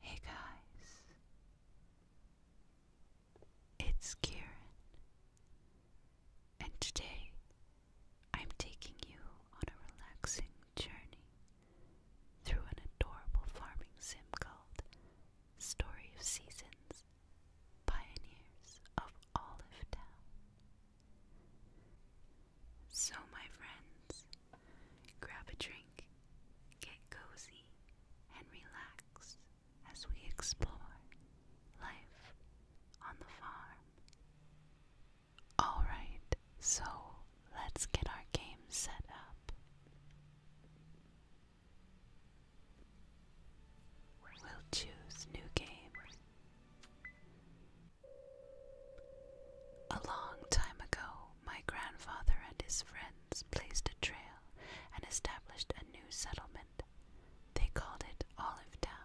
Hey guys, it's Karen, and today I'm taking you on a relaxing journey through an adorable farming sim called Story of Seasons Pioneers of Olive Town. So, my friends, grab a drink, get cozy, and relax as we explore life on the farm. Alright, so let's get our game set up. We'll choose New Game. A long time ago, my grandfather and his friends placed a trail and established a new settlement. They called it Olive Town.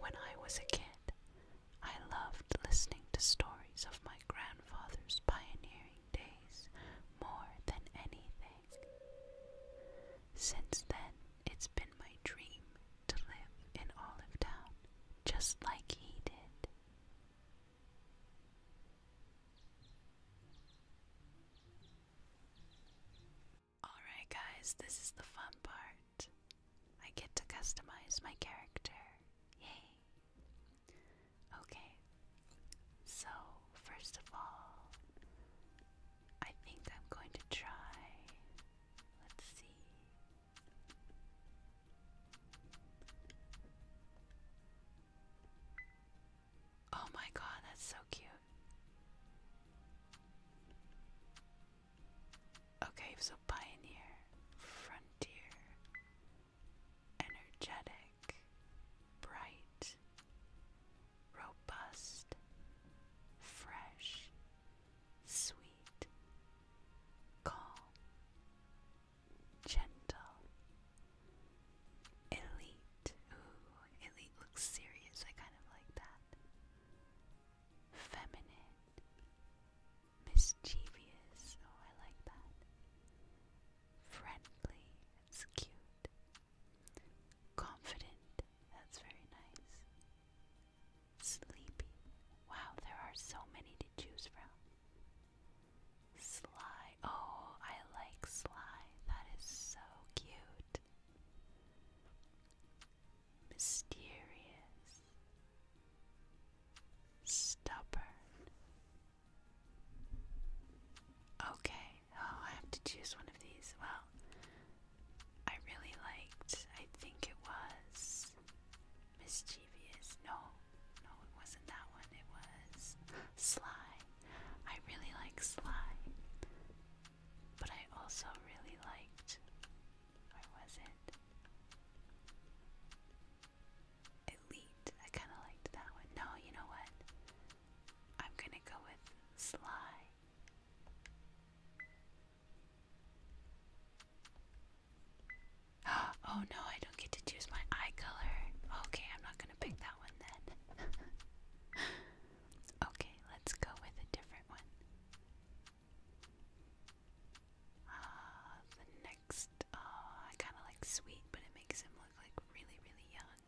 When I was a kid, I loved listening to stories of my grandfather's pioneering days more than anything. Since then, it's been my dream to live in Olive Town just like he did. Alright, guys, this is the fun part. I get to customize my character. Yay! Okay, so first of all, I think I'm going to try. Let's see. Oh my god, that's so cute. Okay, so pioneer, frontier, energetic, bright, robust, fresh, sweet, calm, gentle, elite. elite looks serious. I kind of like that. Feminine, mischievous. Oh, I like that. Friendly, that's cute. Confident, that's very nice. Sleepy. Wow, there are so many to choose from. Sly. Oh, I like Sly. That is so cute. Mysterious. Stubborn. Okay. Oh, I have to choose one of these. Well, I really liked, I think it was Mischievous. No, no, it wasn't that one. It was Sly. I really liked Sly. But I also really liked. I was not Elite. I kind of liked that one. No, you know what? I'm gonna go with Sly. oh no, I don't get to choose my eye color. Okay, I'm not gonna pick that one then. okay, let's go with a different one. Uh, the next, uh, I kind of like sweet, but it makes him look like really, really young.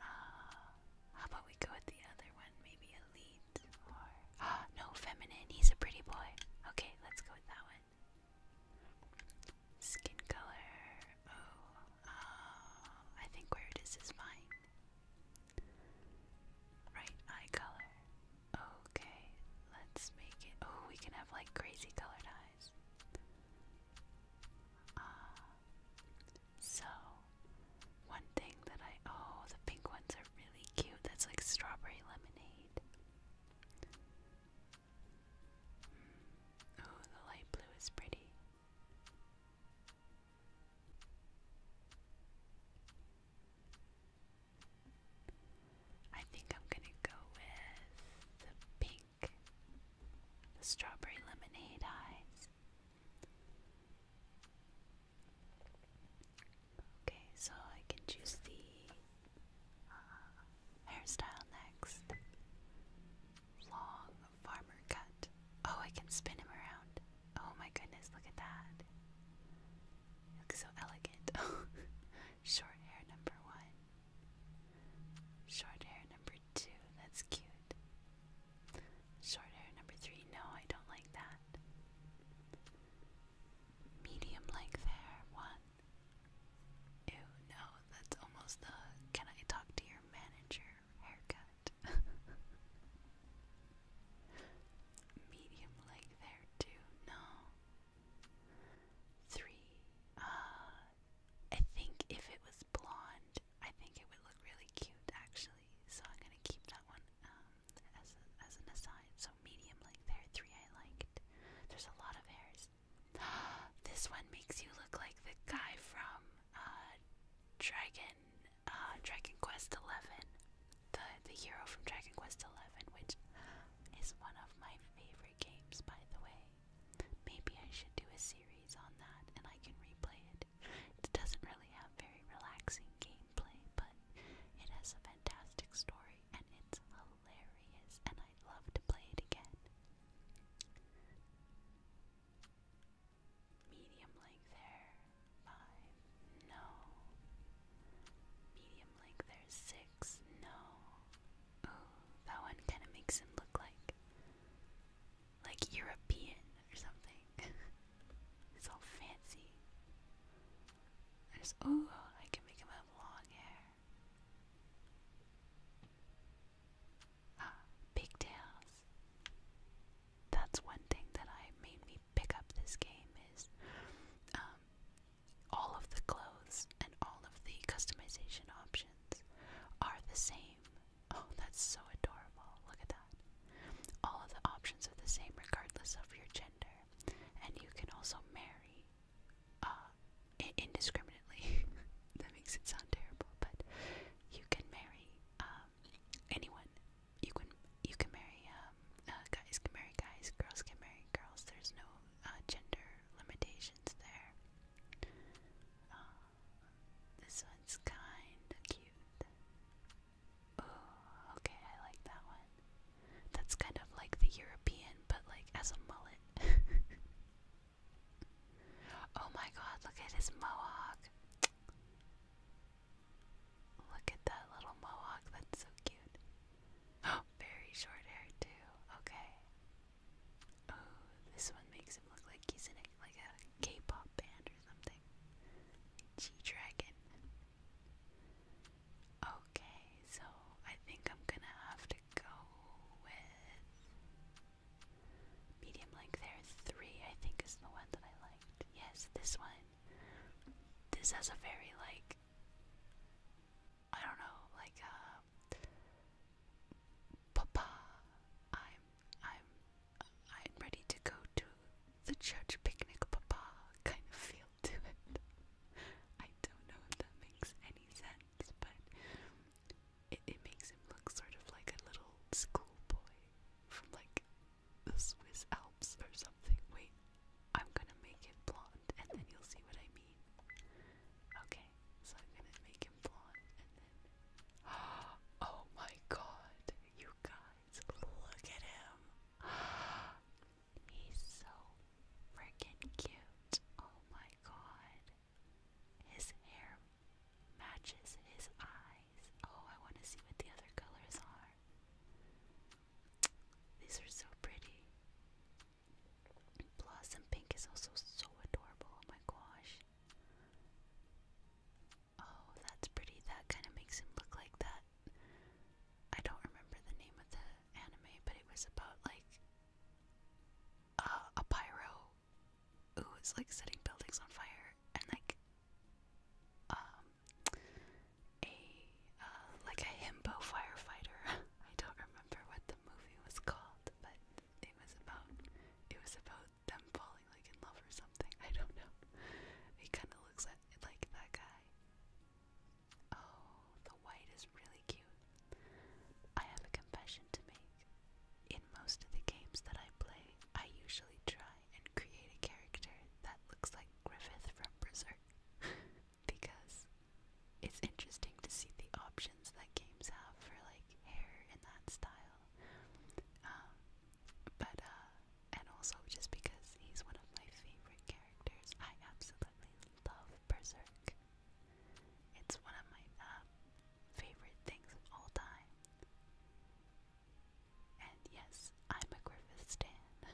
Uh, how about we go with the other one? Maybe a leaf. no, feminine. He's a pretty boy. Okay, let's go with that one. Skin color. Oh, um, I think where it is is fine. Right eye color. Okay, let's make it. Oh, we can have like crazy colored eyes. Uh, so one thing that I oh, the pink ones are really cute. That's like strawberry lemonade. Oh, the light blue is pretty. I think I'm gonna go with the pink, the strawberry lemonade eyes. Okay, so I can choose the uh, hairstyle next. Long farmer cut. Oh, I can spin him around. Oh my goodness, look at that. looks so elegant. Short hair number one. Short hair number two. That's cute. Short hair number three. No, I don't like that. Medium length hair, one. Ew, no, that's almost the can I talk to your manager haircut. Medium length hair, two, no. Three, uh, I think if it was blonde, I think it would look really cute actually, so I'm gonna keep that one. Um, as, an aside. So medium length hair, three I liked. There's a lot of hairs. this one makes you look like the guy from uh, Dragon uh, Dragon Quest Eleven, the the hero from Dragon Quest Eleven, which is one of my favorite games, by the way. Maybe I should do a series on that, and I can replay it. It doesn't really have very relaxing games gameplay, but it has a fantastic story and it's hilarious, and I'd love to play it again. Medium length there, five, no. Medium length there, six, no. Ooh, that one kind of makes him look like, like European or something. It's all fancy. There's I can make him have long hair. Ah, pigtails. That's one thing that I made me pick up this game is um all of the clothes and all of the customization options are the same. Oh, that's so adorable. Look at that. All of the options are the same regardless of your gender and you can also marry uh, indiscriminately. that makes it sound terrible, but you can marry um, anyone. You can you can marry um, uh, guys can marry guys, girls can marry girls. There's no uh, gender limitations there. this one's kind of cute. Oh, okay, I like that one. That's kind of like the European, but like as a mullet. oh my god, look at his mohawk. Look at that little mohawk, that's so cute. Oh, very short hair too. Okay. Oh, this one makes him look like he's in a, like a K-pop band or something. G Dragon. Okay, so I think I'm gonna have to go with medium length hair three, I think is the one that I liked. Yes, this one. This has a very like I don't know, like uh, Papa I'm I'm I'm ready to go to the church picnic papa kind of feel it. I don't know if that makes any sense, but it, makes him look sort of like a little schoolboy from like the Swiss Alps or something. Wait, I'm gonna make it blonde and then you'll see what I mean. Okay, so I'm gonna make him blonde Oh my god, you guys, look at him! He's so freaking cute. Oh my god. His hair matches his eyes. Oh, I want to see what the other colors are. These are so pretty. Blossom pink is also so adorable. Oh my gosh. Oh, that's pretty. That kind of makes him look like that I don't remember the name of the anime, but it was about like a pyro who was like setting buildings on fire and like um, a uh, like a himbo firefighter. I don't remember what the movie was called, but it was about it was about them falling like in love or something. I don't know. He kind of looks like that guy. Oh, the white is really cute. I have a confession to make. In most of the games that I play, I usually try and create a character that looks like Griffith from Berserk because it's interesting to see the options that games have for like hair and that style. Um, but uh, and also just because he's one of my favorite characters. I absolutely love Berserk. It's one of my uh, favorite things of all time. And yes, I'm a Griffith stan.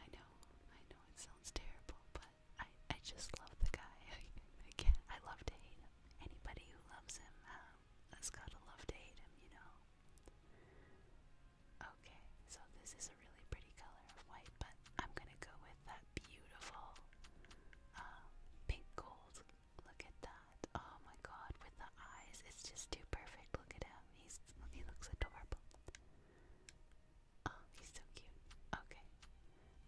I know, I know it sounds terrible, but I, I just love the guy. I I love to hate him. Anybody who loves him um, has got to love to hate him, you know? Okay, so this is a really pretty color of white, but I'm gonna go with that beautiful um, pink gold. Look at that. Oh my god, with the eyes, it's just too perfect. Look at him. He's he looks adorable. Oh, he's so cute. Okay.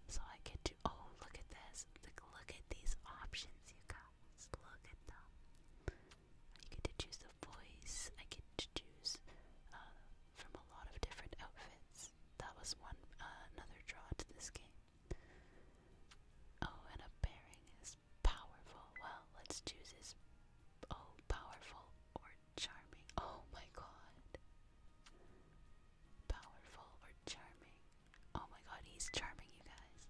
So I get do. oh look at this. Look, at these options you guys. Look at them. I get to choose the voice. I get to choose uh, from a lot of different outfits. That was one uh, another draw to this game. Oh, and a pairing is powerful. Well, let's choose his. Oh, powerful or charming. Oh my god. Powerful or charming. Oh my god, he's charming, you guys.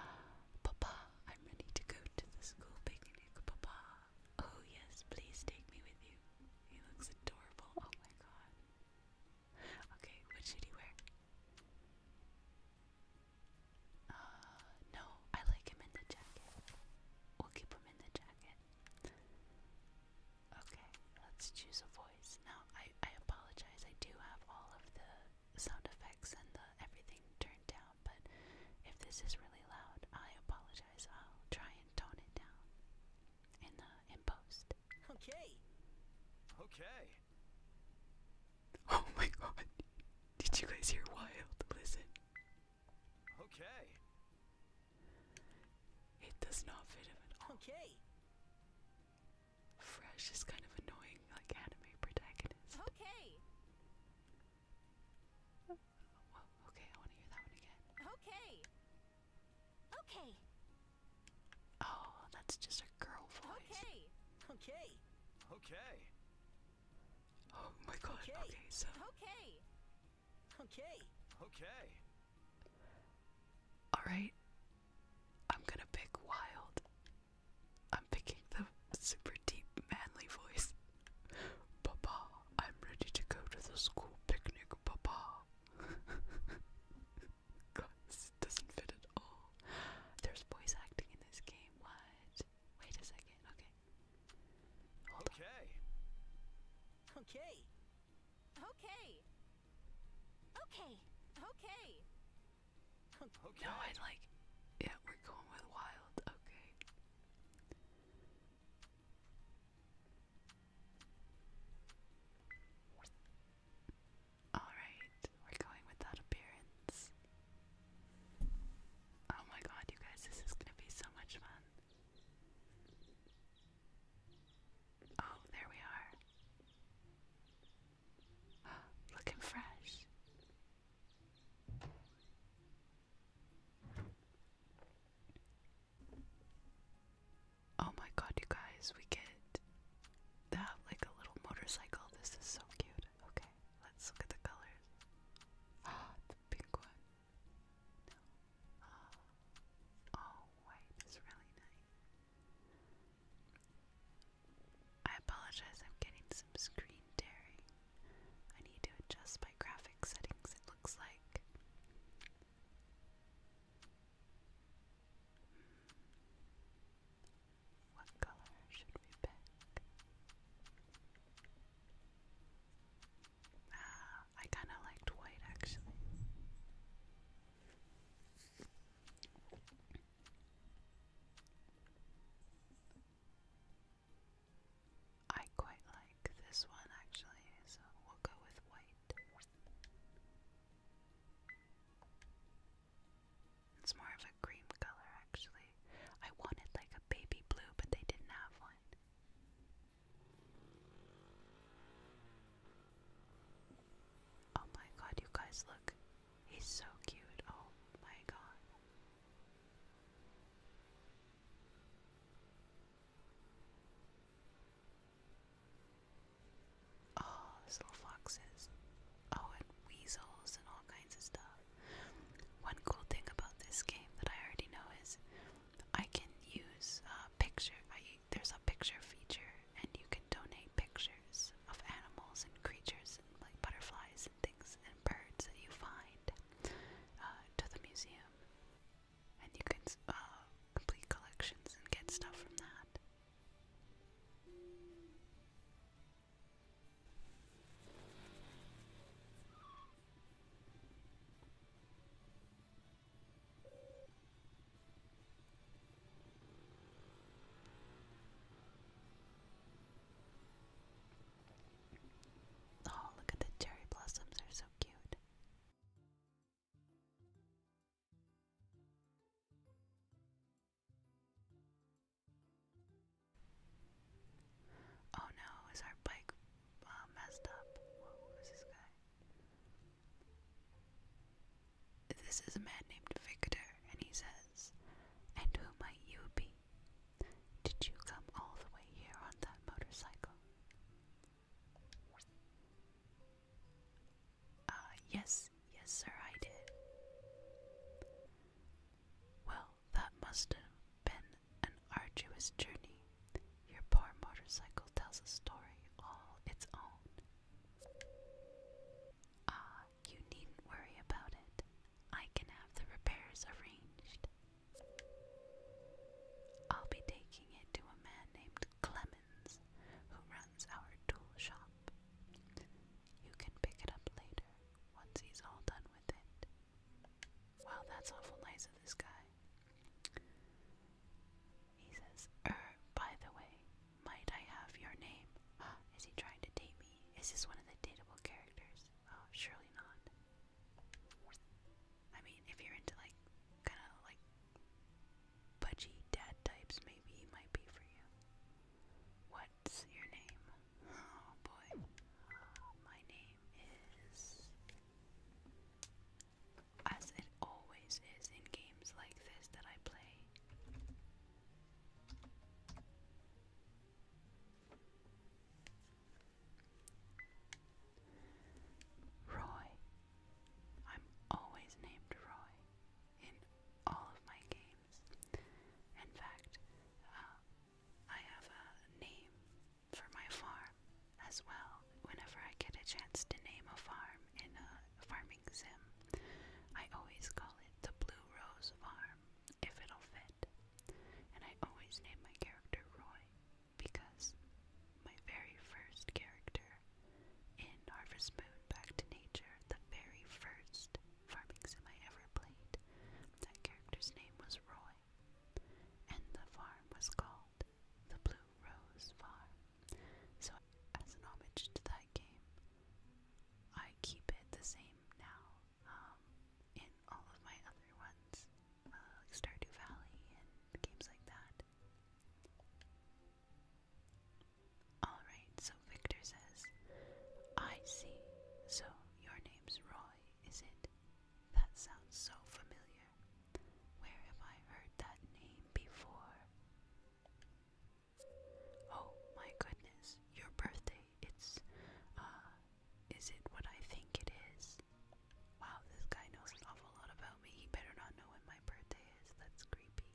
Papa, I'm ready to go to the school picnic. Papa, Oh, yes, please take me with you. He looks adorable. Oh my god. Okay, what should he wear? Uh, no, I like him in the jacket. We'll keep him in the jacket. Okay, let's choose a voice. Now, I, I apologize. I do have all of the sound effects and the everything turned down but if this is really loud, I apologize. I'll try and tone it down in the in post. Okay. Okay. Oh my god. Did you guys hear wild? Listen. Okay. It does not fit at all. Okay. Fresh is kind of annoying, like anime protagonist. Okay okay, Okay. Okay. Oh, that's just a girl voice. Okay. Okay. Okay. Oh my god. okay so. Okay. Okay. Okay. All right. I'm going to pick wild. I'm picking the super deep manly voice. Papa. I'm ready to go to the school picnic, Papa. Guys, it doesn't fit at all. There's voice acting in this game. What? Wait a second. Okay. Hold on. Okay. Okay. Okay. Okay. Okay. No, I like. Yeah, we're going with wild. Okay. Alright, we're going without appearance. Oh my god, you guys, this is gonna be so much fun. Oh, there we are. Looking fresh. Oh my god, you guys, we get that like a little motorcycle. This is so cute. Okay, let's look at the colors. Ah, the pink one. Uh, oh, white is really nice. I apologize, I'm getting some screen tearing. I need to adjust my graphic settings, it looks like. Hmm. What color should we pick? Ah, I kind of liked white actually. I quite like this one actually, so we'll go with white. It's more of a cream color actually. I wanted like a baby blue, but they didn't have one. Oh my god, you guys look. He's so cute. Oh my god. Oh, there's little foxes. Oh, and weasels and all kinds of stuff. One cool thing about this game that I already know is I can use uh, picture. I, there's a picture feature, and you can donate pictures of animals and creatures, and like butterflies and things and birds that you find uh, to the museum and you can uh, complete collections and get stuff from that. Oh, look at the cherry blossoms, they're so cute. Oh no, is our bike uh, messed up? who's this guy? This is a man named Victor, and he says, And who might you be? Did you come all the way here on that motorcycle? Uh, yes, yes, sir, I did. Well, that must have been an arduous journey. Your poor motorcycle tells a story all its own. Ah, you needn't worry about it. I can have the repairs arranged. I'll be taking it to a man named Clemens who runs our tool shop. You can pick it up later once he's all done with it. Wow, that's awful nice of this guy. He says, Er, by the way, might I have your name? Is he trying to date me? Is this one of the dateable characters? Oh, surely not. I mean, if you're into like kind of like pudgy dad types, maybe he might be for you. What's your name? Oh, boy. My name is. As it always is in games like this that I play. Roy. I'm always named Roy in all of my games. In fact, uh, I have a name for my farm as well. Whenever I get a chance to name a farm in a farming sim, I always call it the Blue Rose Farm if it'll fit. And I always name my character Roy because my very first character in Harvest Moon Back to Nature, the very first farming sim I ever played, that character's name was Roy, and the farm was called the Blue Rose Farm. So, as an homage to that game, I keep it the same now um, in all of my other ones uh, like Stardew Valley and games like that. Alright, so Victor says, I see. So your name's Roy, is it? That sounds so familiar. Where have I heard that name before? Oh my goodness, your birthday. It's, uh, is it what I think it is? Wow, this guy knows an awful lot about me. He better not know when my birthday is. That's creepy.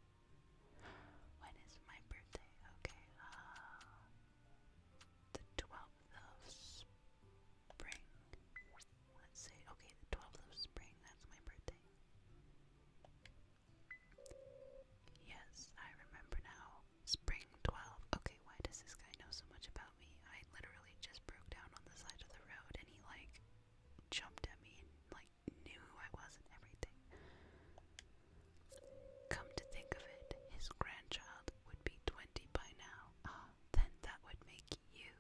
When is my birthday? Okay, uh, the 12th of spring. Let's say, okay, the 12th of spring, that's my birthday. Yes, I remember now. Spring 12. Okay, why does this guy know so much about about me. I literally just broke down on the side of the road and he like jumped at me and like knew who I was and everything. Come to think of it, his grandchild would be 20 by now. Ah, then that would make you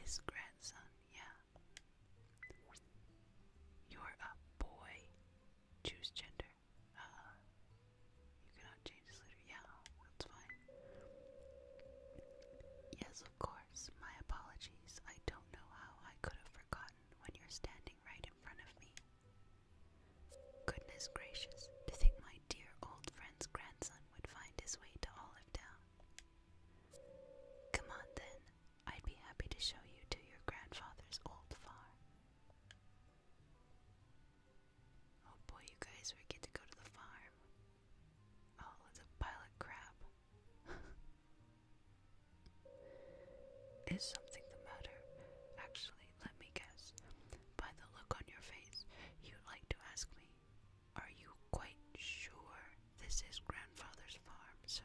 his grandson, yeah. You're a boy. Choose gender. Uh, you cannot change this later. Yeah, that's fine. Yes, of course. My apologies. I don't know how I could have forgotten when you're standing right in front of me. Goodness gracious, to think my dear old friend's grandson would find his way to Olive Town. Come on then, I'd be happy to show you to your grandfather's old farm. Oh boy, you guys, we get to go to the farm. Oh, it's a pile of crap. Is something the matter? Actually, let me guess. By the look on your face, you'd like to ask me, are you quite sure this is grandfather's farm, sir?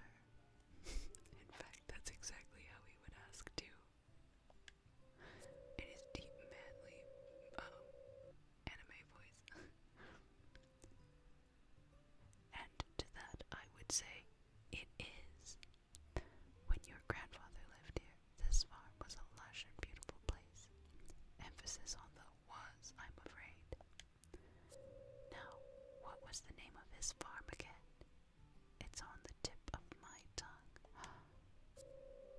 In fact, that's exactly how he would ask, too in deep, manly um, anime voice. and to that, I would say, it is. When your grandfather lived here, this farm was a lush and beautiful place. Emphasis on the was, I'm afraid. Now, what was the name of his farm again? It's on the tip of my tongue.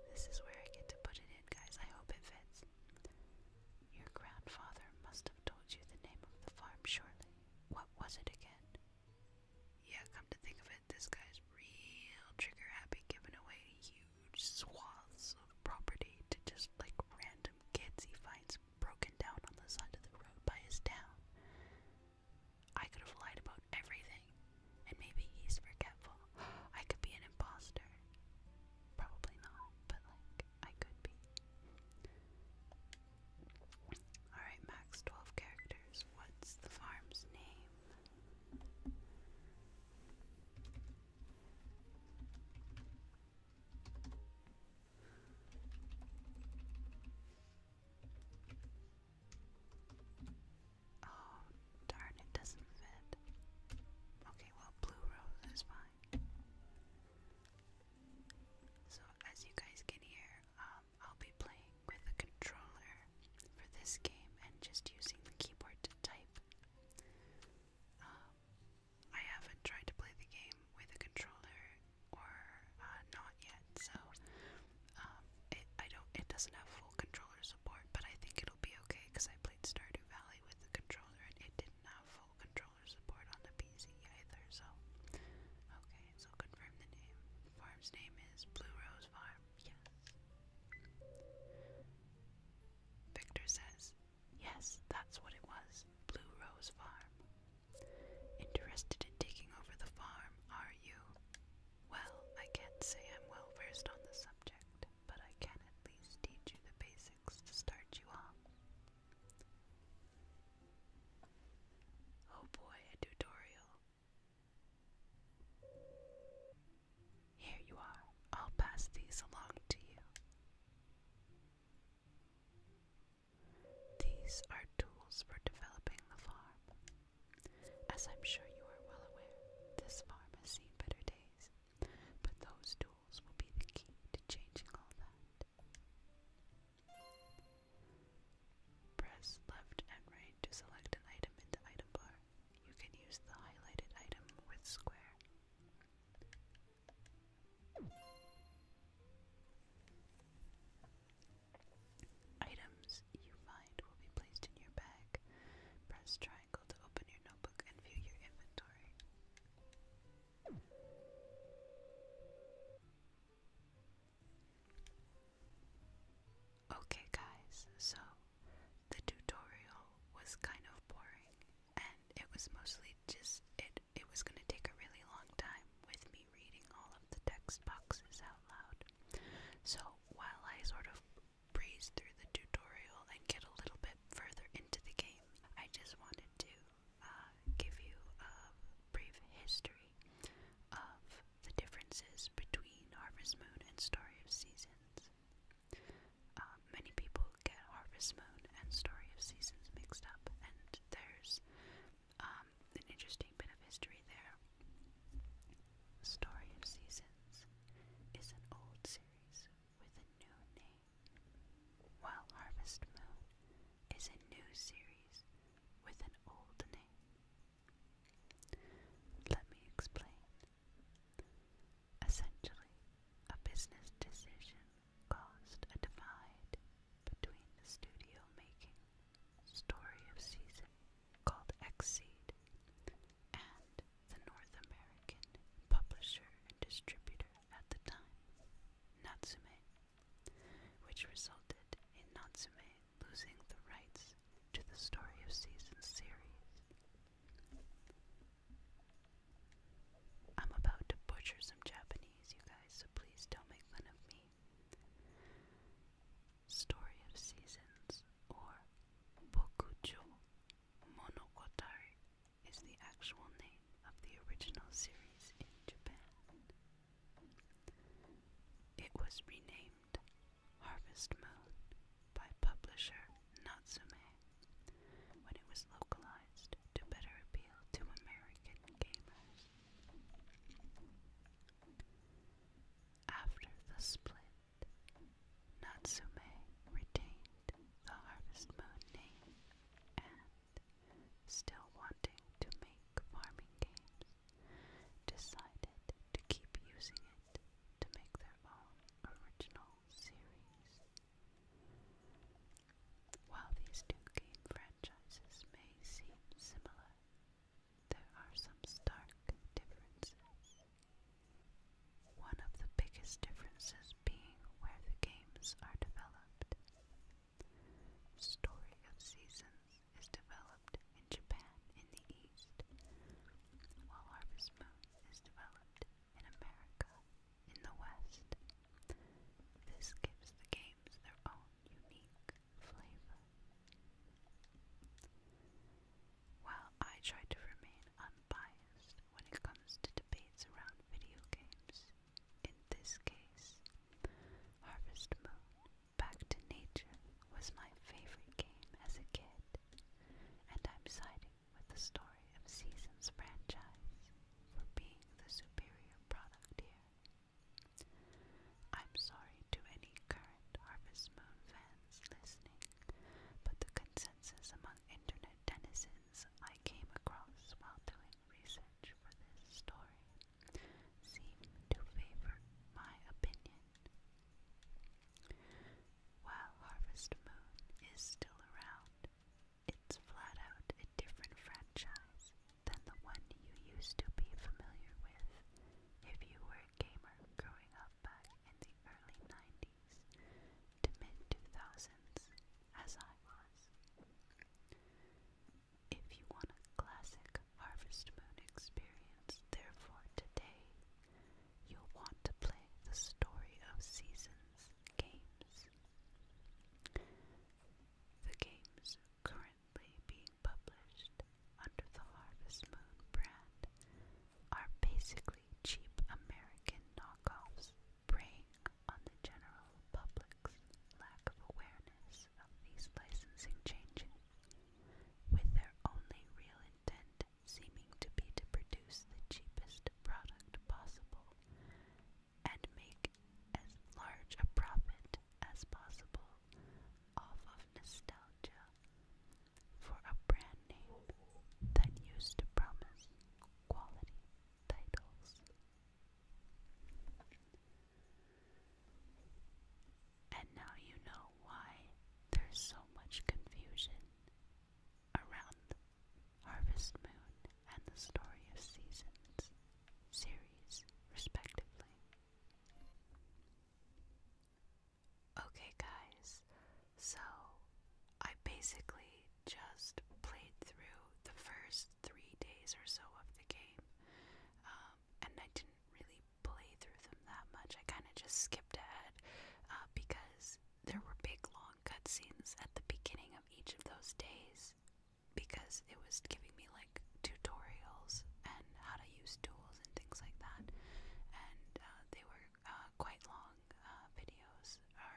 This is where I get to put it in, guys. I hope it fits. Your grandfather must have told you the name of the farm, surely. What was it again? Yeah, come to think of it, this guy's real trigger happy giving away huge swaths of property to just like random kids he finds broken down on the side of the road by his town. I could have lied about everything and maybe he's forgetful. I could be an impostor. Probably not, but like, I could be. Alright, max 12 characters. What's the farm's name? Oh, darn, it doesn't fit. Okay, well, blue rose is fine. So, as you guys can hear, um, I'll be playing with a controller for this game and just using the keyboard to type. Um, I haven't tried to play the game with a controller or uh, not yet, so um, I don't it doesn't have full controller support, but I think it'll be okay because I played Stardew Valley with the controller and it didn't have full controller support on the PC either, so. Okay, so confirm the name. Farm's name is Blue Rose Farm, yes. Victor says, yes, that's what it was, Blue Rose Farm. Interested in taking over the farm, are you? Well, I can't say I'm well versed on the subject but I can at least teach you the basics to start you off. Oh boy, a tutorial. Here you are. I'll pass these along to you. These are tools for developing the farm. As I'm sure you are well aware, this farm has seen better days, but those tools will be the key to changing all that. Press left and right to select an item in the item bar. You can use the highlighted item with square. Items you find will be placed in your bag. Press try and Okay, guys, so the tutorial was kind of boring, and it was mostly just it. It was going to take a really long time with me reading all of the text boxes out loud. So while I sort of breeze through the tutorial and get a little bit further into the game, I just wanted to uh, give you a brief history of the differences between Harvest Moon and Story of Seasons. Um, many people get Harvest Moon and Story of Seasons mixed up, and there's um, an interesting bit of history there. Story of Seasons is an old series with a new name, while Harvest Moon is a new series with an old name. Let me explain. Essentially, a business decision caused a divide between the studio making Story of Seasons, called Xseed and the North American publisher and distributor at the time, Natsume, which resulted in Natsume losing the rights to the Story of Seasons series. I'm about to butcher some Japanese, you guys, so please don't make fun of me. Story of Seasons, or Bokucho, Monogatari is the actual name of the original series in Japan. It was renamed Harvest Moon by publisher Natsume when it was localized to better appeal to American gamers. After the split, Natsume retained the Harvest Moon name and, still wanting to make farming games, decided to keep using it to make their own original series. While these two game franchises may seem similar, there are some stark differences. One of the biggest differences being where the games are developed. Story of Seasons is developed in Japan in the East, while Harvest Moon is developed in America in the West. This gives the games their own unique flavor. While I try to remain unbiased when it comes to debates around video games, in this case, Harvest Moon Back to Nature was my favorite game as a kid, and I'm siding with the story of Season's franchise for being the superior product here. I'm sorry to any current Harvest Moon fans listening, but the consensus among internet denizens I came across while doing research for this story seemed to favor my opinion. While Harvest Moon is still around, it's flat out a different franchise than the one you used to be familiar with if you were a gamer growing up back in the early 90s to mid 2000s, as I was. If you want a classic Harvest Moon experience, therefore, today you'll want to play the Story of Seasons games. The games currently being published under the Harvest Moon brand are basically cheap American knockoffs preying on the general public's lack of awareness of these licensing changes, with their only real intent seeming to be to produce the cheapest product possible and make as large a profit as possible off of nostalgia for a brand name that used to promise quality titles. And now you know why there's so much confusion around Harvest Moon and the Story of Seasons series, respectively. Okay, guys, so I basically just played through the first three days or so of the game. Um, and I didn't really play through them that much. I kind of just skipped ahead uh, because there were big long cutscenes at the beginning of each of those days because it was giving me like tutorials and how to use tools and things like that. And uh, they were uh, quite long uh, videos or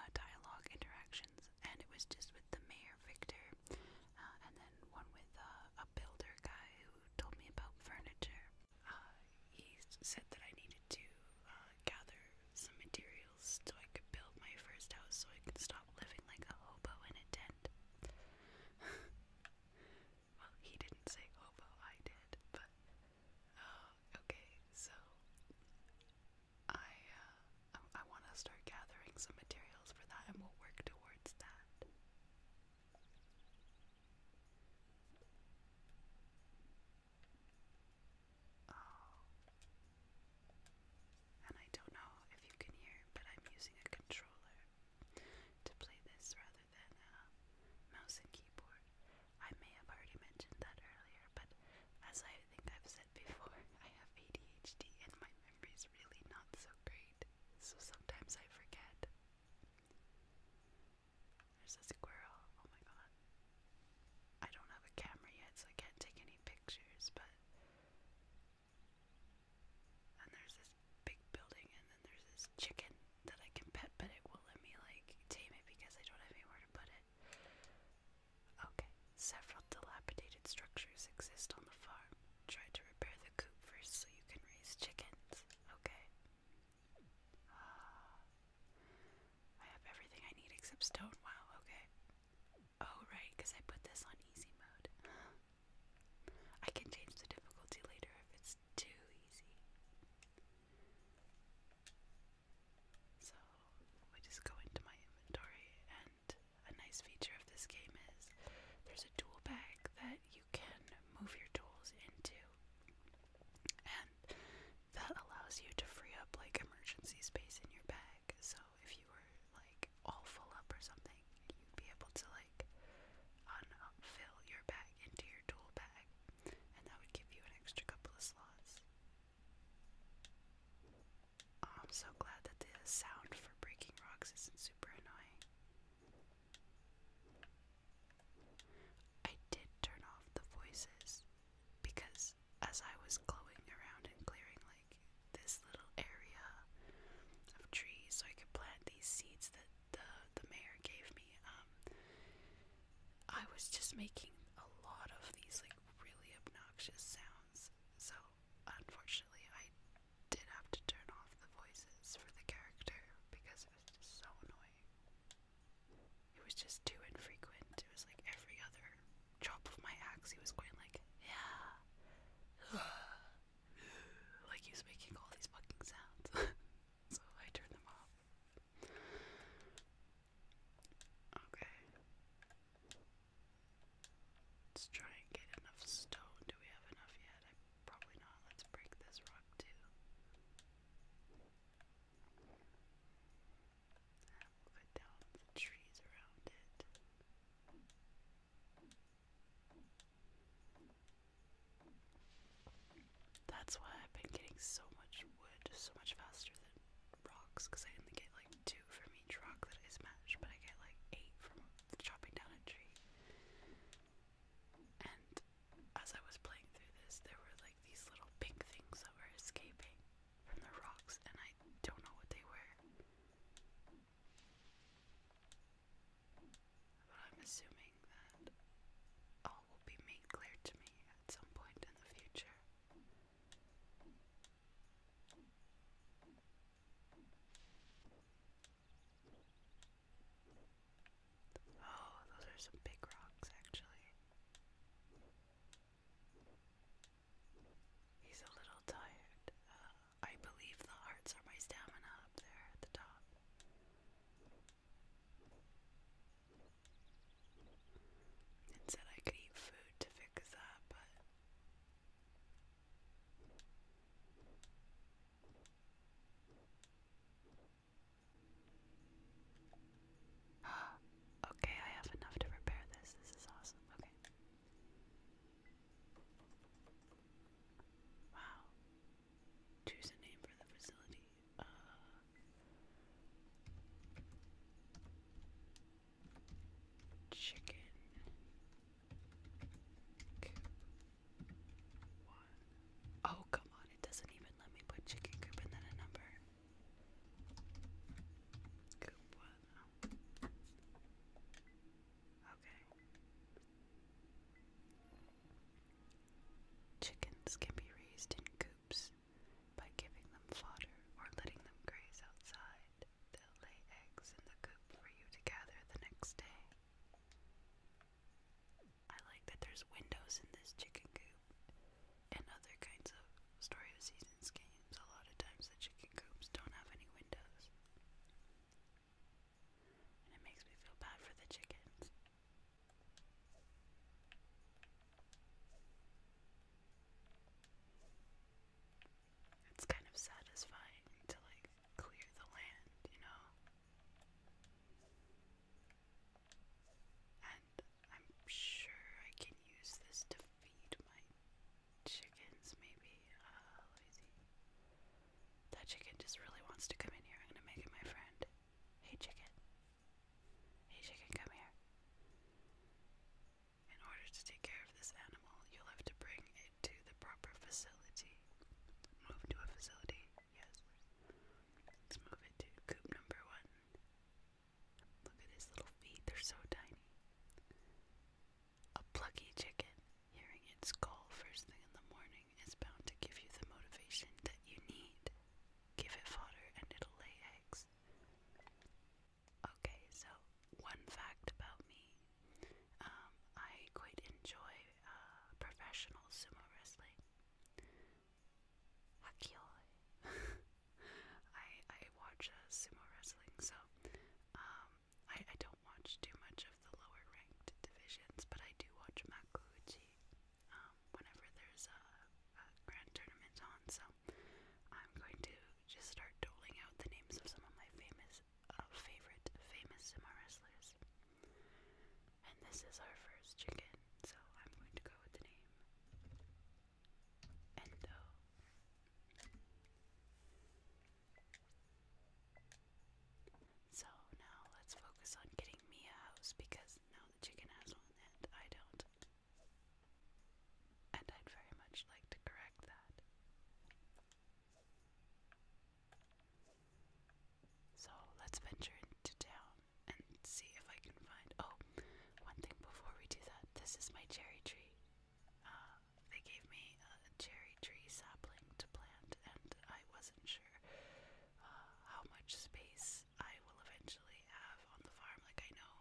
uh, dialogue interactions, and it was just with the mayor Victor, uh, and then one with uh, a builder guy who told me about furniture. Uh, he said that I needed to uh, gather some materials so I could build my first house, so I could stop living like a hobo in a tent. well, he didn't say hobo, I did, but Oh, okay, so I uh, I, want to start gathering some materials for that, and we'll work towards that. Oh, and I don't know if you can hear, but I'm using a controller to play this rather than a mouse and keyboard. I may have already mentioned that earlier, but as I think I've said before, I have ADHD and my memory is really not so great, so sometimes I forget. There's a squirrel, oh my god. I don't have a camera yet, so I can't take any pictures, but. And there's this big building, and then there's this chicken that I can pet, but it won't let me, like, tame it because I don't have anywhere to put it. Okay, several dilapidated structures exist on the farm. Try to repair the coop first so you can raise chickens. Okay. Uh, I have everything I need except stone. Wow, okay. Oh, right, because I put this on easy mode. I can change the difficulty later if it's too easy. So we just go into my inventory, and a nice feature of this game is there's a tool bag that you can move your tools into, and that allows you to free up like emergency space in your bag. So if you were like all full up or something, you'd be able to like unfill your bag into your tool bag, and that would give you an extra couple of slots. Oh, I'm so glad that the sound for breaking rocks isn't super annoying. I did turn off the voices because as I was glowing around and clearing like this little area of trees so I could plant these seeds that the the mayor gave me, um, I was just making a lot of these like really obnoxious sounds, so unfortunately I did have to turn off the voices for the character because it was just so annoying. It was just too infrequent. It was like every other chop of my axe, he was going like, yeah, like he was making all these fucking sounds. so I turned them off. Okay. Let's try and get enough stone. Do we have enough yet? probably not. Let's break this rock too. cut down the trees around it. That's why I've been getting so much wood so much faster than rocks because I only get like two from each rock that is matched, but I get like eight from chopping down a tree. And as I was playing through this, there were like these little pink things that were escaping from the rocks, and I don't know what they were. But I'm assuming that all will be made clear to me at some point in the future. Oh, those are some big rocks, actually. He's a little tired. Uh, I believe the hearts are my stamina up there at the top and I could eat food to fix that, but okay, I have enough to repair this. This is awesome. Okay. Wow. Choose a name for the facility chicken Oh, come on, it doesn't even let me put chicken coop and then a number. Coop one. Okay. Chickens can be raised in coops by giving them fodder or letting them graze outside, they'll lay eggs in the coop for you to gather the next day. I like that there's windows in this chicken coop and other kinds of story of seasons games. A lot of times the chicken coops don't have any windows. And it makes me feel bad for the chickens. It's kind of satisfying to like clear the land, you know? And I'm sure I can use this to feed my chickens, maybe. Uh, that chicken just really wants to come in here. I'm gonna make it my friend. Hey, chicken. Hey chicken, come here. In order to take care of this animal, you'll have to bring it to the proper facility. Move to a facility, yes. Let's move it to coop number one. Look at his little feet, they're so tiny. A plucky chicken, hearing its call first thing in the morning, is bound to give you the motivation that you need. Give it fodder and it'll lay eggs. Okay, so one fact about me um, I quite enjoy uh, professional sumo wrestling. Hakioi. I, I watch uh, sumo wrestling, so um, I, I don't watch too much of the lower ranked divisions, but I do watch Makuuchi um, whenever there's a, a grand tournament on, so I'm going to just start doling out the names of some of my famous, uh, favorite, famous sumo wrestlers. And this is our first chicken, so I'm going to go with the name Endo. So now let's focus on getting me a house because now the chicken has one and I don't. And I'd very much like to correct that. So let's venture into town and see if I can find. Oh, one thing before we do that this is my cherry tree. Uh, they gave me a cherry tree sapling to plant, and I wasn't sure uh, how much space I will eventually have on the farm. Like, I know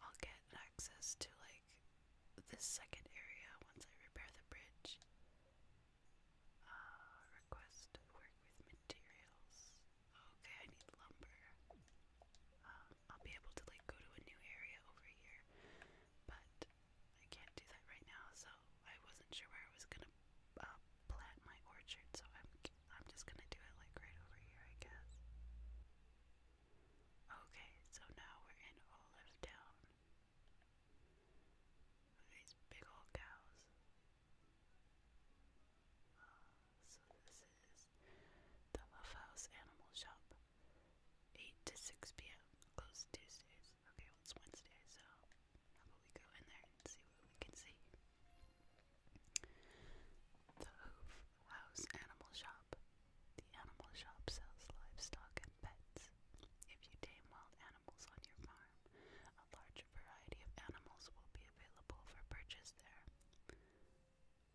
I'll get access to, like, this second area once I repair the bridge. Uh, request work with materials. Okay, I need lumber. Um, I'll be able to, like, go to a new area over here, but I can't do that right now, so I wasn't sure where I was gonna uh, plant my orchard, so I'm I'm just gonna do it like right over here, I guess. Okay, so now we're in Olive Town. These big old cows. Uh, so this is the Love House Animal Shop. 8 to 6 p.m. Closed Tuesdays. Okay, well it's Wednesday, so we go in there and see what we can see? The Hoof House Animal Shop. The animal shop sells livestock and pets. If you tame wild animals on your farm, a larger variety of animals will be available for purchase there.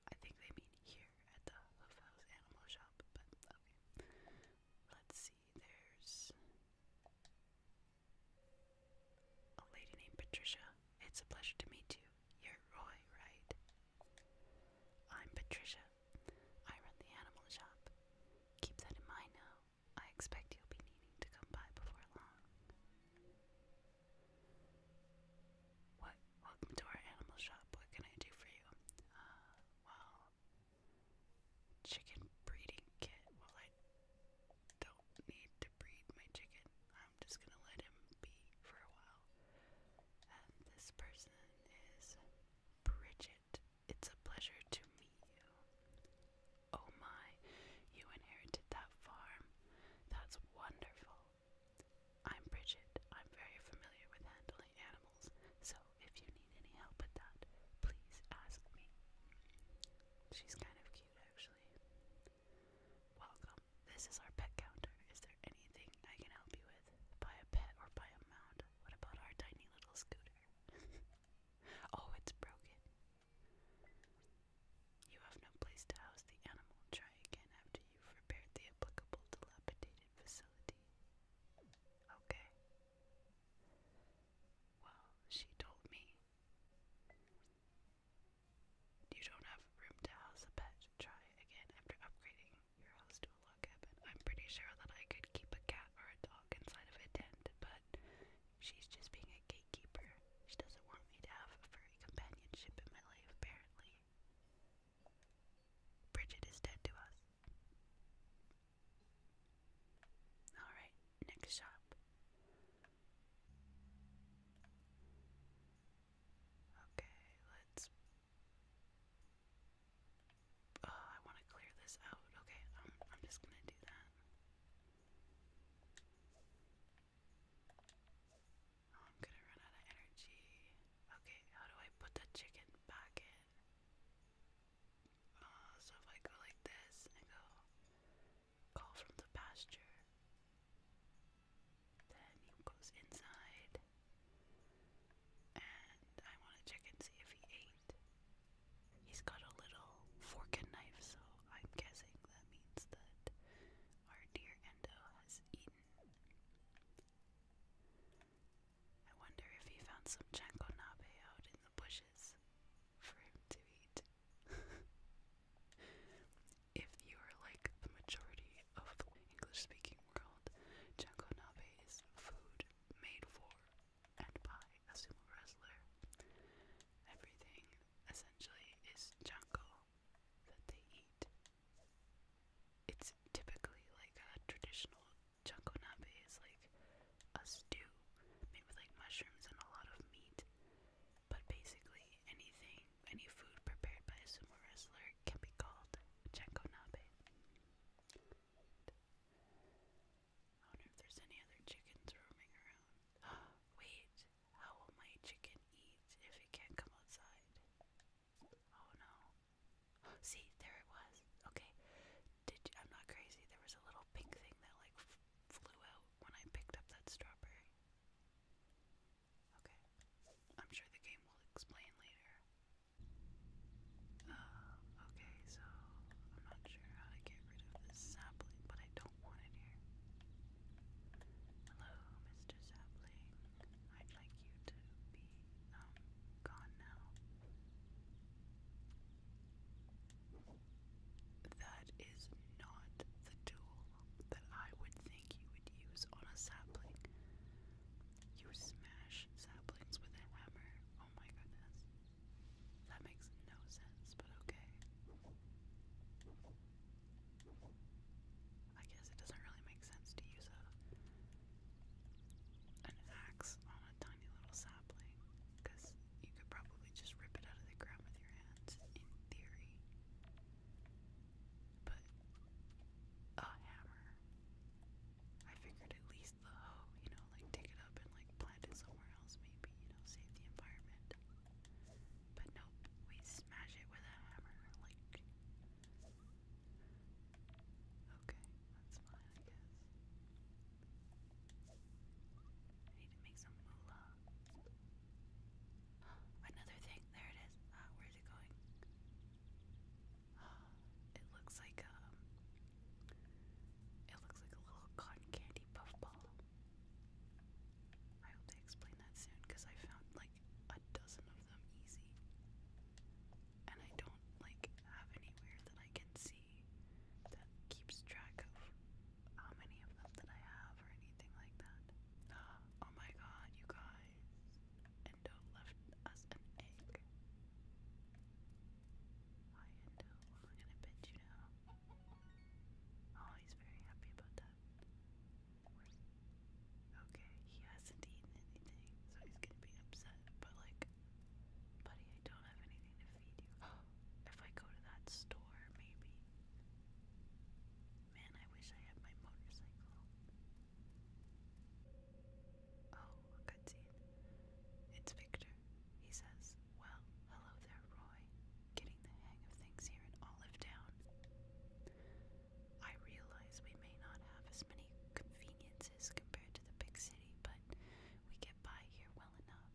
I think they mean here at the Hoof House Animal Shop, but okay. Let's see, there's a lady named Patricia. It's a pleasure to meet you. You're Roy, right? I'm Patricia. I run the animal shop. Keep that in mind now. I expect you'll be needing to come by before long. What? Welcome to our animal shop. What can I do for you? Uh, well, chicken breeding kit. Well, I don't need to breed my chicken. I'm just gonna let him be for a while. And this person is Bridget. It's a pleasure to meet you. Oh my, you inherited that farm. That's wonderful. I'm Bridget. I'm very familiar with handling animals, so if you need any help with that, please ask me. She's kind of cute, actually. Welcome. This is our pet counter. Is there anything I can help you with? Buy a pet or buy a mound? What about our tiny little scooter? oh, it's broken. You have no place to house the animal. Try again after you've repaired the applicable dilapidated facility. Okay. Well, she told me. You don't have room to house a pet. Try again after upgrading your house to a log cabin. I'm pretty sure that I could keep a cat or a dog inside of a tent, but she's just being a gatekeeper. She doesn't want me to have a furry companionship in my life, apparently. Bridget is dead to us. Alright, next shop. Okay, let's. Uh, I want to clear this out. Okay, I'm, um, I'm just gonna do that. Oh, I'm gonna run out of energy. Okay, how do I put the chicken back in? Uh, so if I go like this and go, call from the pasture. Then he goes inside, and I want to check and see if he ate. He's got a little fork and knife, so I'm guessing that means that our dear Endo has eaten. I wonder if he found some chankonabe out in the bushes for him to eat. if you are like the majority of the English speaking world, Nabe is food made for and by a sumo wrestler. Everything essentially is janko that they eat. It's typically like a traditional janko nabe is like a stew made with like mushrooms and a lot of meat. But basically anything, any food prepared by a sumo wrestler can be called chenkonabe. I wonder if there's any other chickens roaming around. Wait, how will my chicken eat if it can't come outside? Oh no. See, there it was. Okay. Did I'm not crazy. There was a little pink thing that like flew out when I picked up that strawberry. Okay. I'm sure the game will explain later. Uh, okay, so I'm not sure how to get rid of this sapling, but I don't want it here. Hello, Mr. Sapling. I'd like you to be, um, gone now. That is not the tool that I would think you would use on a sapling. You smash saplings with a hammer. Oh my goodness. That makes no sense, but okay. I guess it doesn't really make sense to use a an axe on a tiny little sapling, because you could probably just rip it out of the ground with your hands, in theory. But a hammer. I figured at least the hoe, you know, like take it up and like plant it somewhere else, maybe, you know, save the environment. But nope, we smash it with a hammer. Like, okay, that's fine, I guess. need to make some moolah. Another thing, there it is. Uh, ah, where's Ah, it looks like um it looks like a little cotton candy puffball. I hope they explain that soon because I found like a dozen of them easy. And I don't like have anywhere that I can see that keeps track of how many of them that I have or anything like that. Oh my god, you guys. Endo left us an egg. Hi, Endo. I'm gonna bet you now. Oh, he's very happy about that. Okay, he hasn't eaten anything, so he's gonna be upset. But like, buddy, I don't have anything to feed you. if I go to that store, maybe. Man, I wish I had my motorcycle. Oh, a It's Victor. He says, Well, hello there, Roy. Getting the hang of things here in Olive Town. I realize we may not have as many conveniences compared to the big city, but we get by here well enough.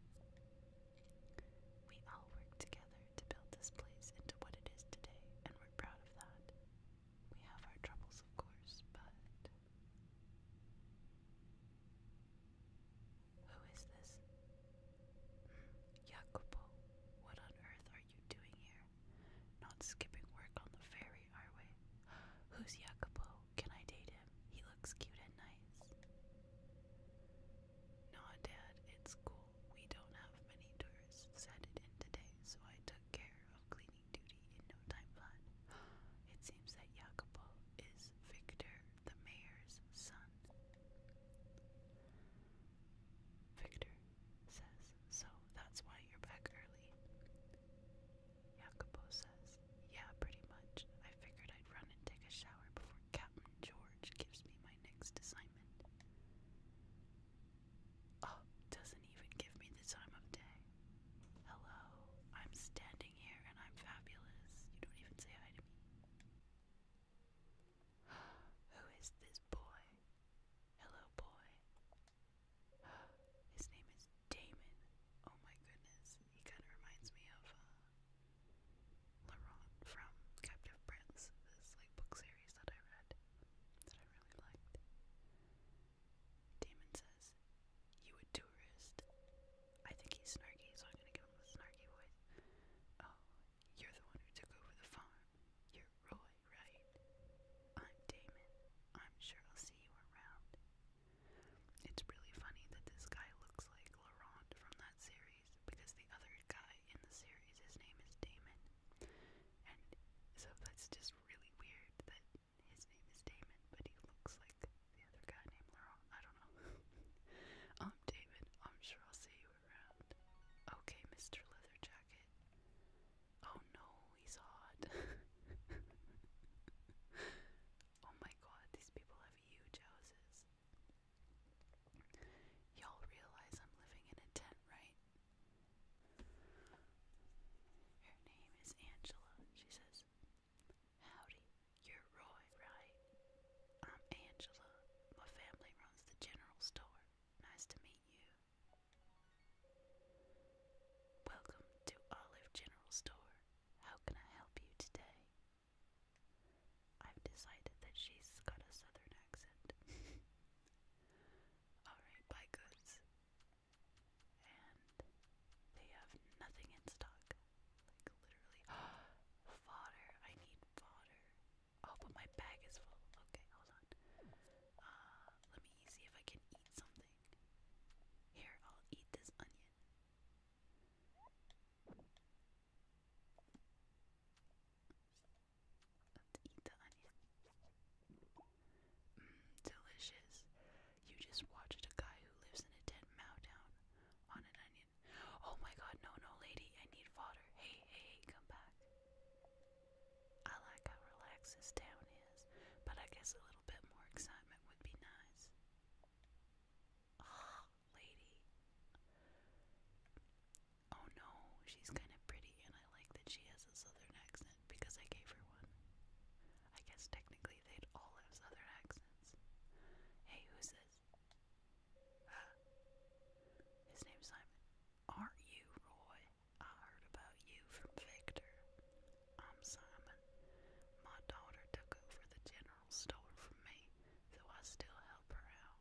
We all work together to build this place into what it is today, and we're proud of that. We have our troubles, of course, but. Who is this? Jacopo, what on earth are you doing here? Not skipping work on the ferry, are we? Who's Jacopo? Can I date him? He looks cute and nice. Nah, Dad, it's cool. We don't have many tourists headed in today, so I took care of cleaning duty in no time flat. It seems that Jacopo is Victor, the mayor's son. Victor says, So that's why you're back early. Jacopo says, Yeah, pretty much. I figured I'd run and take a shower before Captain George gives me my next assignment. Oh, doesn't even give me the time of day. Hello, I'm standing here and I'm fabulous. You don't even say hi to me. Who is this boy? Hello, boy. His name is Damon. Oh my goodness, he kind of reminds me of uh, Laurent from Captive Prince, this like book series that I read that I really liked. Damon says, You a tourist? I think he's snarky, so I'm gonna give him a snarky voice. Oh, you're the one who took over the farm. You're Roy, right? I'm Damon. I'm sure I'll see you around. It's really funny that this guy looks like Laurent from that series because the other guy in the series, his name is Damon. And so that's just really weird that his name is Damon, but he looks like the other guy named Laurent. I don't know. I'm um, Damon. I'm sure I'll see you around. Okay, Mr. Leather Jacket. Oh no, he's hot. oh my god, these people have huge houses. Y'all realize I'm living in a tent, right? Her name is Angela, she says. Howdy, you're Roy, right? I'm Angela. My family runs the general store. Nice to meet you. Welcome to Olive General Store. How can I help you today? I've decided that she's got a southern accent. Alright, buy goods and they have nothing in stock. Like literally fodder. I need fodder. Oh, but my bag is full. Okay, hold on. Uh, let me see if I can eat something. Here, I'll eat this onion. eat the onion delicious. You just watched a guy who lives in a tent mow down on an onion. Oh my god, no, no, lady, I need fodder. Hey, hey, hey, come back. I like how relaxed this town is, but I guess a little bit more excitement would be nice. oh, lady. Oh no, she's kind of pretty, and I like that she has a southern accent because I gave her one. I guess technically they all have southern accents. Hey, who's this? His name's Simon. Aren't you Roy? I heard about you from Victor. I'm Simon. My daughter took over the general store from me, though I still help her out.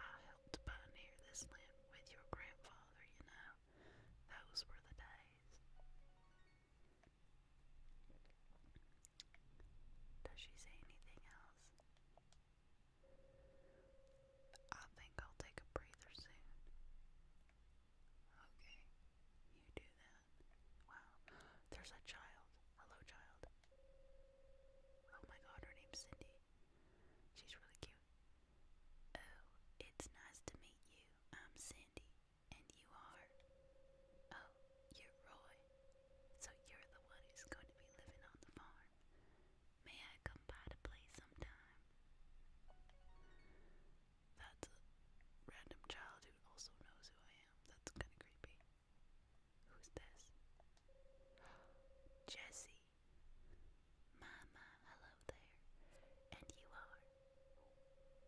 I helped pioneer this land with your grandfather, you know. Those were the days. Does she say anything else? I think I'll take a breather soon. Okay, you do that. Wow, there's a child. Hello, child. Oh my god, her name's Cindy. She's really cute you? Oh, it's nice to meet you. I'm Cindy, and you are? Oh, you're Roy. So you're the one who's going to be living on the farm. May I come by to play sometime? That's a random child who also knows who I am. That's kind of creepy. Who's this? Jesse. Mama, hello there. And you are?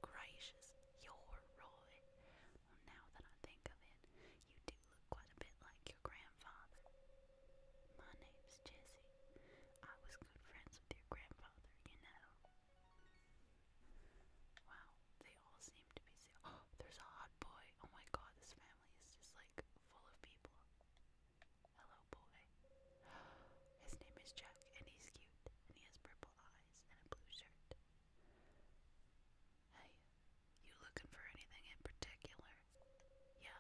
Gracious, you're Roy. Well, now that I think of it, you do look quite a bit like your grandfather. My name's Jessie. I was good friends with your grandfather, you know. Wow, they all seem to be so. Oh, there's a hot boy. Oh my god, this family is just like full of people. Hello, boy. His name is Jack, and he's cute, and he has purple eyes and a blue shirt. Hey, you looking for anything in particular? Yeah,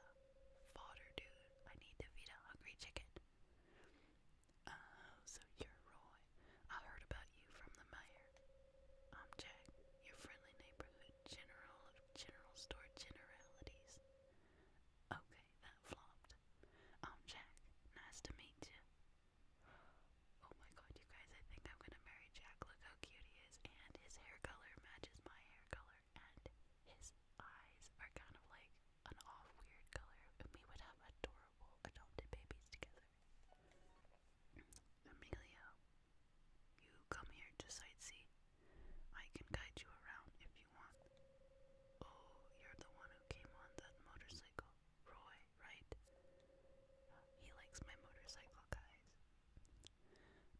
fodder, dude. I need to feed a hungry chicken. Oh, so you're Roy. I heard about you from the mayor. I'm Jack, your friendly neighborhood general of general store generalities. Okay, that flopped. Um, Jack, nice to meet you. Oh my god, you guys, I think I'm gonna marry Jack. Look how cute he is. And his hair color matches my hair color. And his eyes are kind of like an off weird color. we would have adorable adopted babies together. Emilio, you come here to sightsee? I can guide you around if you want. Oh, you're the one who came on that motorcycle, Roy, right? He likes my motorcycle, guys.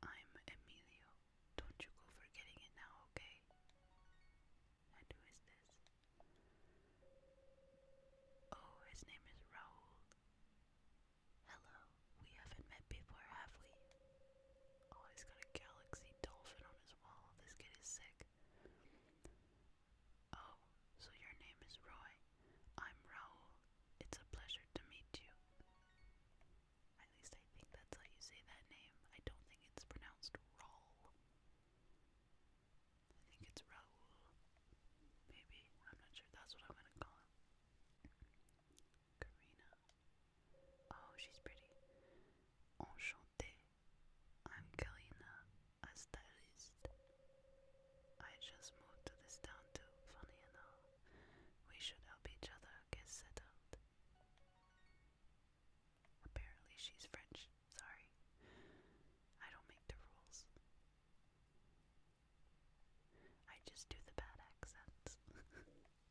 I'm Emilio. Don't you go forgetting it now, okay? And who is this? Oh, his name is Raul. Hello, we haven't met before, have we? Oh, he's got a galaxy dolphin on his wall. This kid is sick. Oh, so your name is Roy. I'm Raul. It's a pleasure to meet you. At least I think that's how you say that name. I don't think it's pronounced Raul. I think it's Raul. Maybe. I'm not sure. That's what I'm gonna call him. Karina. Oh, she's pretty. Enchantée. I'm Karina, a I just moved to this town too, funny enough. We should help each other get settled. Apparently, she's French. Sorry. I don't make the rules. I just do the bad accents.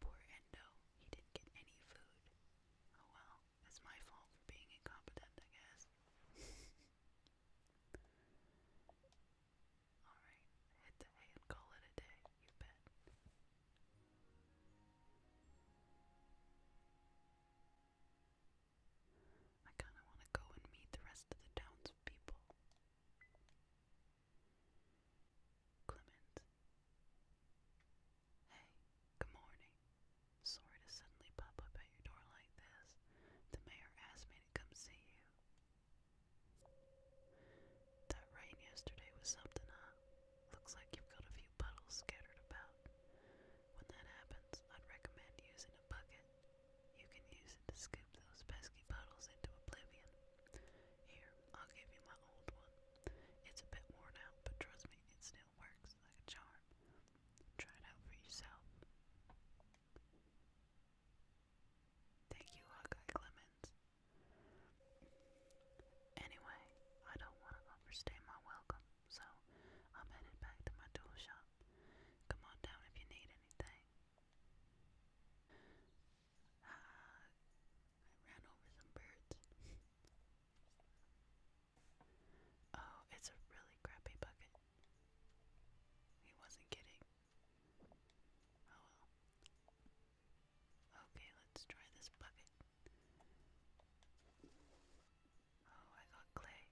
Poor Endo, he didn't get any food. Oh well, it's my fault for being incompetent, I guess. Alright, hit the hay and call it a day, you bet. I kinda wanna go and meet the rest of the townspeople. Clement. Hey, good morning. Sorry to suddenly pop up at your door like this. The mayor asked me to come see you. That rain yesterday was something, huh? Looks like you've got a few puddles scattered about. When that happens, I'd recommend using a bucket. You can use it to scoop those pesky puddles into oblivion. Here, I'll give you my old one. It's a bit worn out, but trust me, it still works like a charm. Try it out for yourself. Thank you, Hawkeye Clemens. Anyway, I don't want to overstay my welcome, so I'm headed back to my tool shop. Come on down if you need anything. Uh, I ran over some birds. oh, it's a really crappy bucket. He wasn't kidding. Oh well. Okay, let's try this bucket. Oh, I got clay.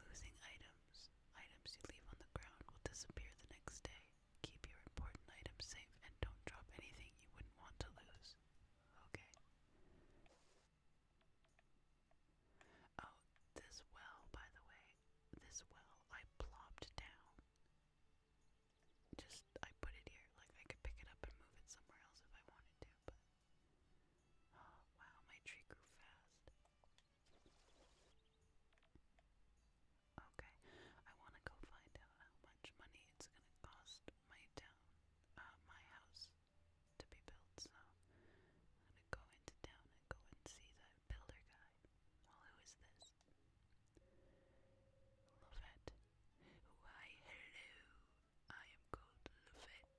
Losing items. Items you leave on the ground will disappear the next day. Keep your important items safe and don't drop anything you wouldn't want to lose. Okay. Oh, this well, by the way, this well I plopped down. Just, I put it here. Like, I could pick it up and move it somewhere else if I wanted to, but. wow, my tree grew fast. Okay, I want to go find out how much money it's gonna cost my town, uh, my house to be built. So I'm gonna go into town and go and see that builder guy. Well, who is this? Lovett. Why, hello. I am called Lovett.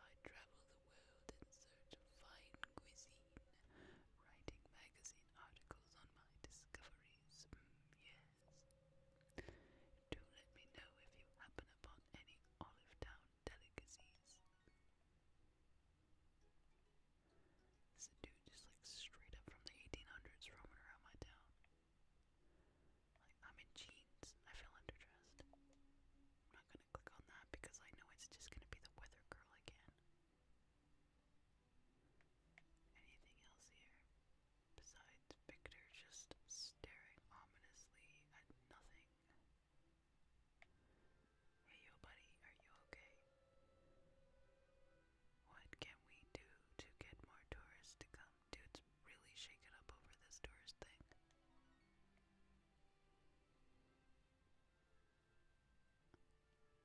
I travel the world in search of fine cuisine, writing magazine articles on my discoveries. Mm, do let me know if you happen upon any Olive Town delicacies. It's dude just like straight up from the 1800s roaming around my town. Like, I'm in jeans. I feel underdressed. I'm not gonna click on that because I know it's just gonna be the weather girl again. Anything else here? Besides Victor just staring ominously at nothing. Hey yo buddy, are you okay? What can we do to get more tourists to come? Dude's really shaken up over this tourist thing.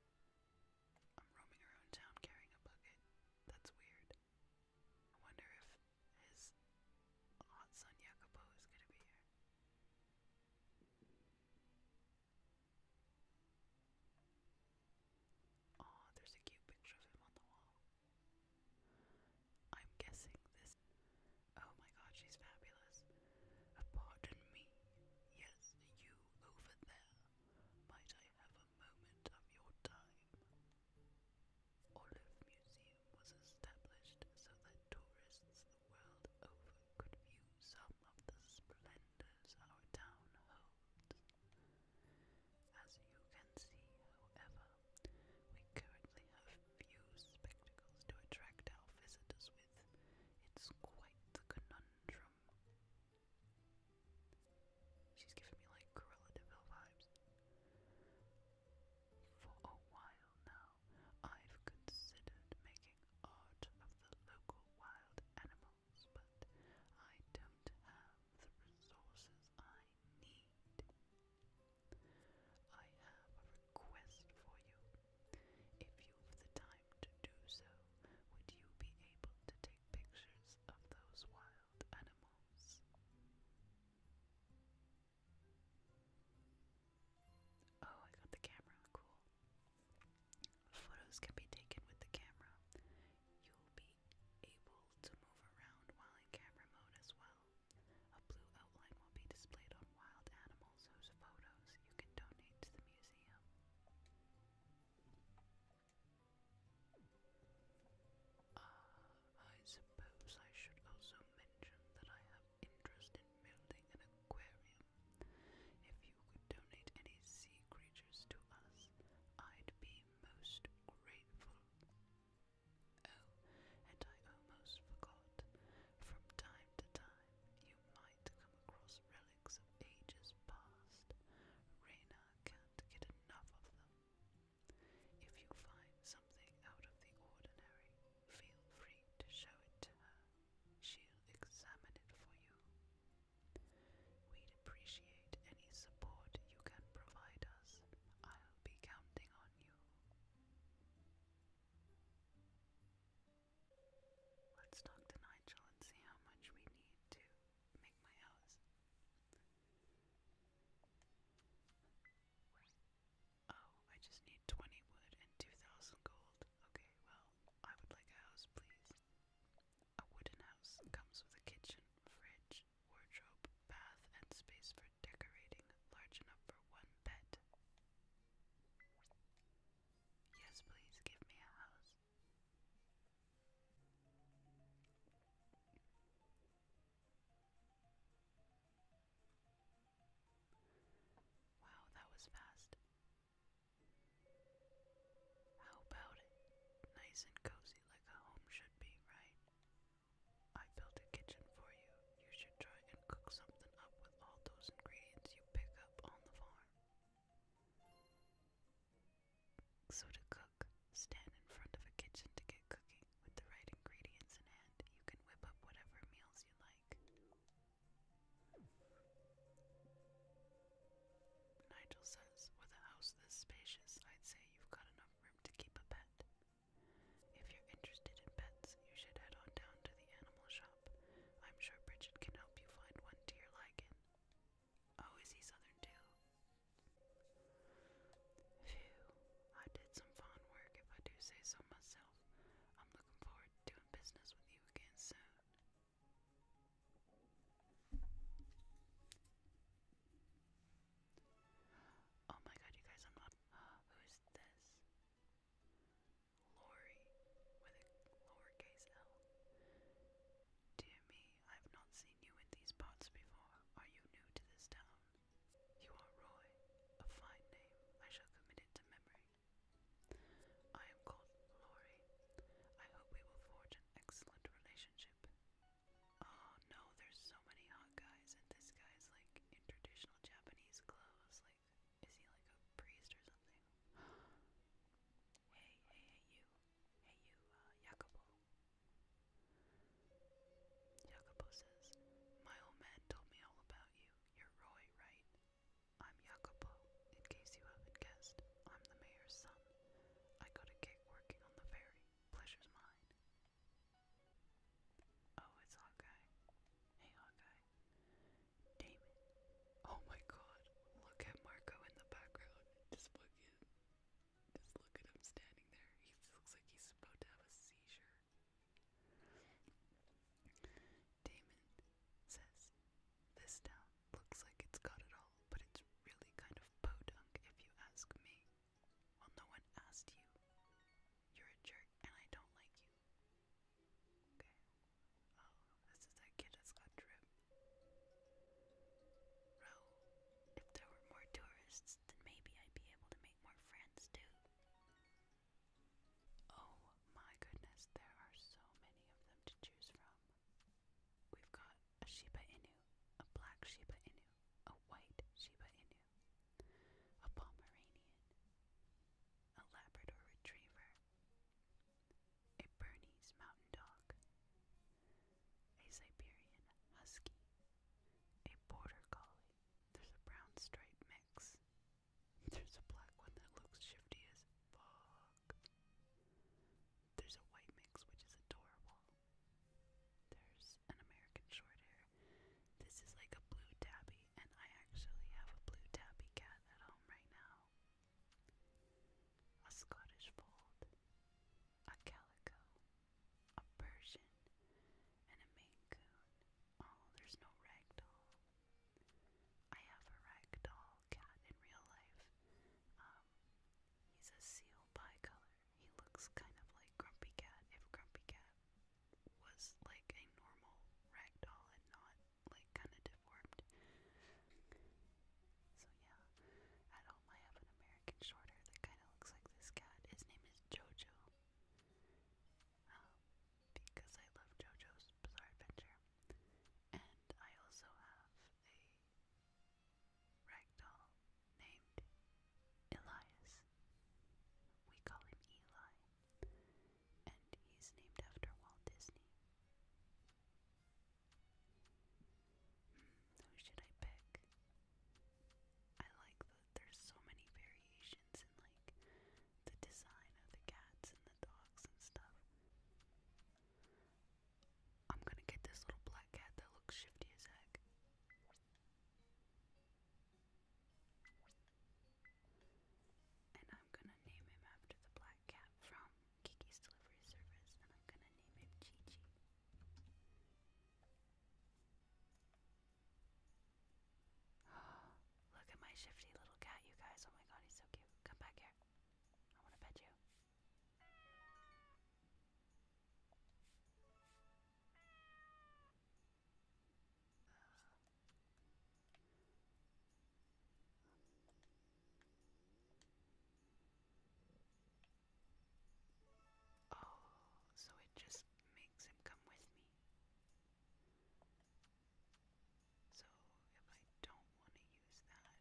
I'm roaming around town carrying a bucket. That's weird. wonder if his hot son Jacopo is gonna be here. Oh, there's a cute picture of him on the wall. I'm guessing this. Oh my god, she's fabulous. Pardon me. Yes, you over there. Might I have a moment of your time. Olive Museum was established so that tourists the world over could view some of the splendors our town holds. As you can see, however, we currently have few spectacles to attract our visitors with. It's quite the conundrum. She's giving me like gorilla devil vibes. For a while now, I've considered making art of the local wild animals, but I don't have the resources I need. I have a request for you. If you've the time to do so, would you be able to take great pictures of those wild animals. Oh, I got the camera. Cool. Photos can be taken with the camera. You'll be able to move around while in camera mode as well. A blue outline will be displayed on wild animals whose photos you can donate to the museum. Uh, I suppose I should also mention that I have interest in building an aquarium. If you could donate any sea creatures to us, I'd be most grateful. Oh, and I almost forgot. From time to time, you might come across relics of ages past. Raina can't get enough of them. If you find something out of the ordinary, feel free to show it to her. She'll examine it for you. We'd appreciate any support you can provide us. I'll be counting on you. Let's talk to Nigel and see how much we need to make my house. Oh, I just need 20 wood and 2,000 gold. Okay, well, I would like a house, please. A wooden house comes with a kitchen, fridge, wardrobe, bath, and space for decorating large enough for one pet. Yes, please give me a house. Wow, that was fast. How about it? Nice and cozy like a home should be, right? I built a kitchen for you. You should try and cook something up with all those ingredients you pick up on the farm. So to cook, stand in front of a kitchen to get cooking. With the right ingredients in hand, you can whip up whatever meals you like. Nigel says, with a house this spacious, I'd say you've got enough room to keep a pet. If you're interested in pets, you should head on down to the animal shop. I'm sure Bridget can help you find one to your liking. Oh, is he Southern too? Phew, I did some fine work if I do say so myself. I'm looking forward to doing business with you again soon. Oh my god, you guys, I'm not. Who's this? Lori with a lowercase L. Do me, I have not seen you in these parts before. Are you new to this town? You are Roy, a fine name. I shall commit it to memory. I am called Lori. I hope we will forge an excellent relationship. Oh no, there's so many hot guys, and this guy's like in traditional Japanese clothes. Like, is he like a priest or something? hey, hey, you. Hey, you, uh, Jacopo says, My old man told me all about you. You're Roy, right? I'm Jacopo, in case you haven't guessed. I'm the mayor's son. I got a kick working on the ferry. Pleasure's mine. Oh, it's Hawkeye. Hey, Hawkeye. Damon. Oh my god, look at Marco in the background. Just just look at him standing there. He looks like he's about to have a seizure. Damon says, This town looks like it's got it all, but it's really kind of podunk if you ask me. Well, no one asked you. You're a jerk and I don't like you. Okay. Oh, this is that kid that's got drip. If there were more tourists, then maybe I'd be able to make more friends too. Oh my goodness, there are so many of them to choose from. We've got a Shiba Inu, a black Shiba Inu, a white Shiba Inu, a Pomeranian, a Labrador Retriever, a Bernese Mountain Dog, a Siberian Husky, a Border Collie. There's a brown stripe mix. There's a black one that looks shifty as fuck. There's a white mix, which is adorable. There's an American short hair. This is like a blue tabby, and I actually have a blue tabby cat at home right now. A Scottish fold, a calico, a Persian, and a Maine Coon. Oh, there's no ragdoll. I have a ragdoll cat in real life. Um, he's a seal bicolor. He looks kind of like Grumpy Cat if Grumpy Cat was like a normal ragdoll and not like kind of deformed. So yeah, at home I have an American shorter that kind of looks like this cat. His name is Jojo. Um, because I love Jojo's Bizarre Adventure. And I also have a ragdoll named Elias. We call him Eli. And he's named after Walt Disney. Hmm, who should I pick? I like that there's so many variations in like the design of the cats and the dogs and stuff. I'm gonna get this little black cat that looks shifty as heck. And I'm gonna name him after the black cat from Kiki's Delivery Service, and I'm gonna name him Chi Look at my shifty little cat, you guys. Oh my god, he's so cute. Come back here. I want to pet you. Oh, so it just makes him come with me. So if I don't want to use that,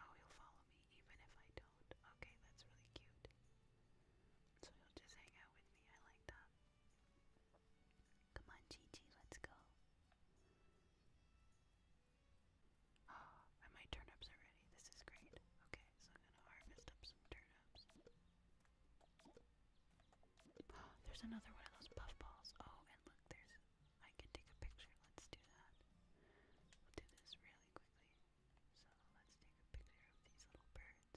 oh, he'll follow me even if I don't. Okay, that's really cute. So he'll just hang out with me. I like that. Come on, Gigi, let's go. Oh, Oh, my turnips already. This is great. Okay, so I'm gonna harvest up some turnips. there's another one of those puffballs. Oh, and look, there's. I can take a picture. Let's do that. We'll do this really quickly. So let's take a picture of these little birds.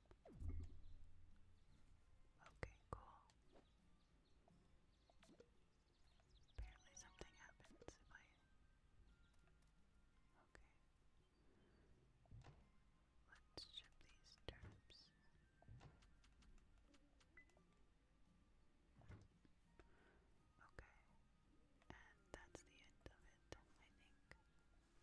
Okay, cool. Apparently something happens Okay. Let's ship these turnips. Okay. And that's the end of it, I think.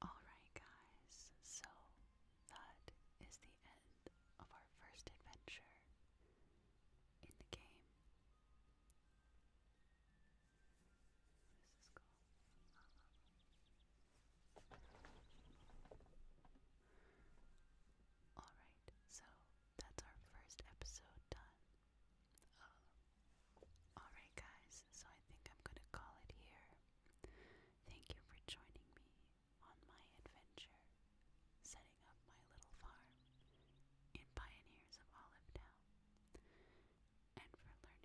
Alright, guys, so that is the end of our first adventure in the game. What is this called? Alright, so that's our first episode done. Um, Alright, guys, so I think I'm gonna call it here. Thank you for joining me, on my adventure setting up my little farm in Pioneers of Olive Town and for learning.